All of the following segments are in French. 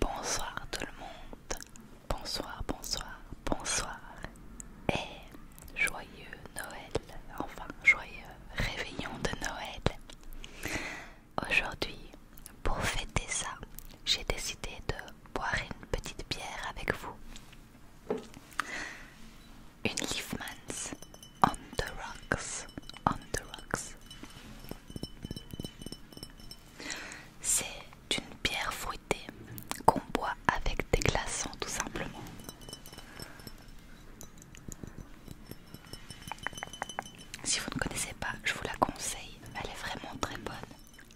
Bonsoir tout le monde, bonsoir, bonsoir, bonsoir et joyeux Noël, enfin joyeux réveillon de Noël. Aujourd'hui, pour fêter ça, j'ai décidé de boire une petite bière avec vous. Une Leafmans on the rocks, C'est une pierre fruitée qu'on boit avec des glaçons tout simplement. Si vous ne connaissez pas, je vous la conseille, elle est vraiment très bonne.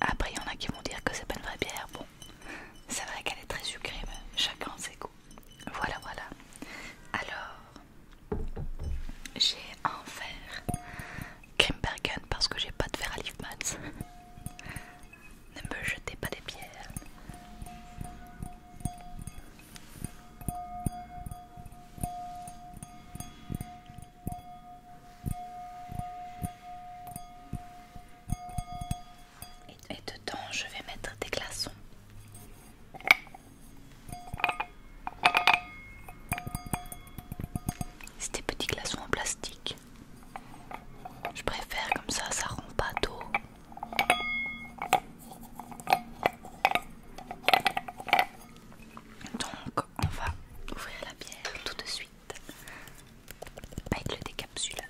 Après, il y en a qui vont dire que c'est pas une vraie bière. Bon, c'est vrai qu'elle est très sucrée, mais chacun goûts. Voilà, voilà. Alors, j'ai un verre Grimbergen parce que j'ai pas de verre à Liefmans. ne me jetez pas des pierres et dedans je vais mettre des glaçons. C'est des petits glaçons en plastique. Je préfère comme ça, ça rend pas d'eau. Donc on va ouvrir la bière tout de suite avec le décapsuleur.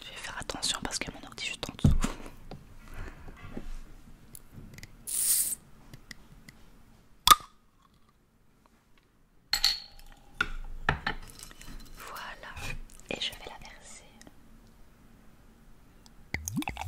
Je vais faire attention parce que mon ordi jute juste en dessous. Voilà, et je vais la verser.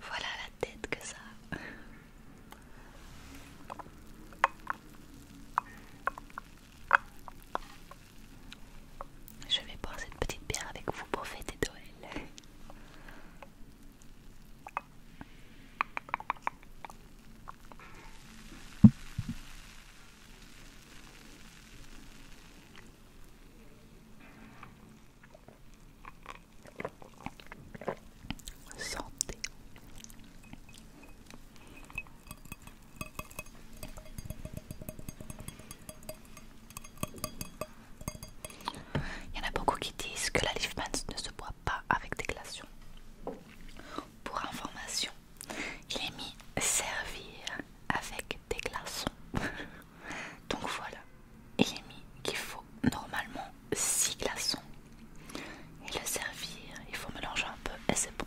Voilà la tête que ça Je vais boire cette petite bière avec vous pour fêter Noël. Santé. Il y en a beaucoup qui disent que la Leafman ne se boit pas avec des glaçons. Pour information, il est mis servir avec des glaçons. Donc voilà, il est mis qu'il faut normalement six glaçons et le servir, il faut mélanger un peu et c'est bon.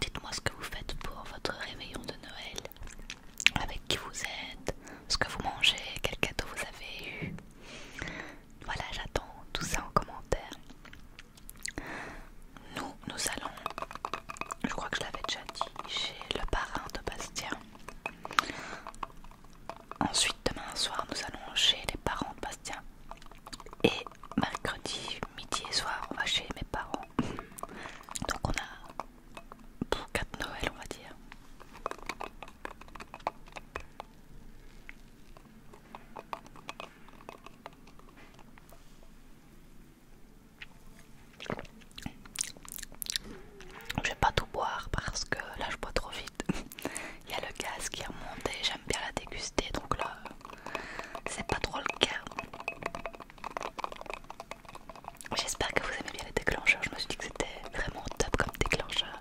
Dites-moi ce que vous faites pour votre réveillon de Noël avec qui vous êtes, ce que vous mangez, quel cadeau vous avez eu. Voilà, j'attends tout ça en commentaire. Nous, nous allons, je crois que je l'avais déjà dit, chez le parrain de Bastien. Ensuite, demain soir, nous allons chez les parents de Bastien. Et mercredi, midi et soir, on va chez mes parents. Donc on a pour 4 Noël on va dire. Je vais pas tout boire parce que là je bois trop vite. Il y a le gaz qui est monté j'aime bien la déguster donc là c'est pas trop le cas. J'espère que vous aimez bien les déclencheurs. Je me suis dit que c'était vraiment top comme déclencheur.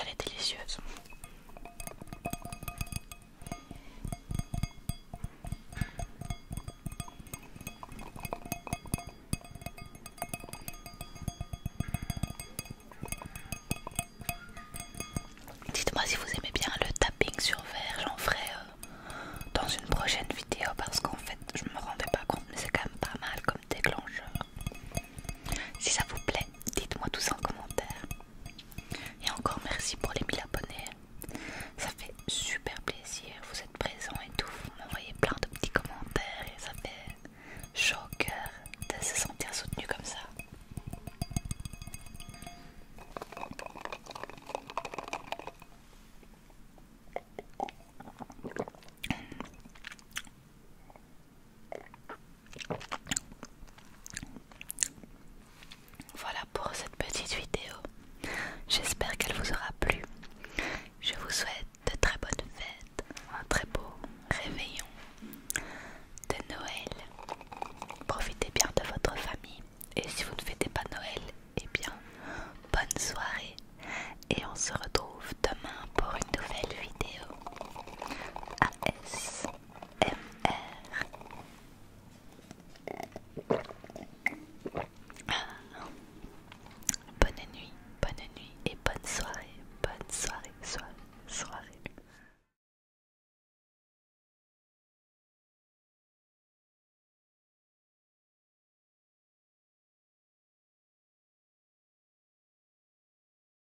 Elle est délicieuse. Dites-moi si vous aimez bien le tapping sur verre, j'en ferai euh, dans une prochaine vidéo parce qu'en fait je me rendais pas compte mais c'est quand même pas mal comme déclencheur. Si ça vous plaît, dites-moi tout ça en commentaire. Et encore merci pour les 1000 abonnés. Ça fait super plaisir, vous êtes présents et tout, vous m'envoyez plein de petits commentaires et ça fait chaud au cœur de se sentir soutenu comme ça. Voilà pour cette petite vidéo. J'espère qu'elle vous aura plu. Je vous souhaite de très bonnes fêtes, un très beau réveillon de Noël. Profitez bien de votre famille. Et si vous ne fêtez pas Noël, eh bien, bonne soirée. Et on se retrouve demain pour une nouvelle vidéo. S Bonne nuit, bonne nuit et bonne soirée, bonne soirée, soirée, soirée.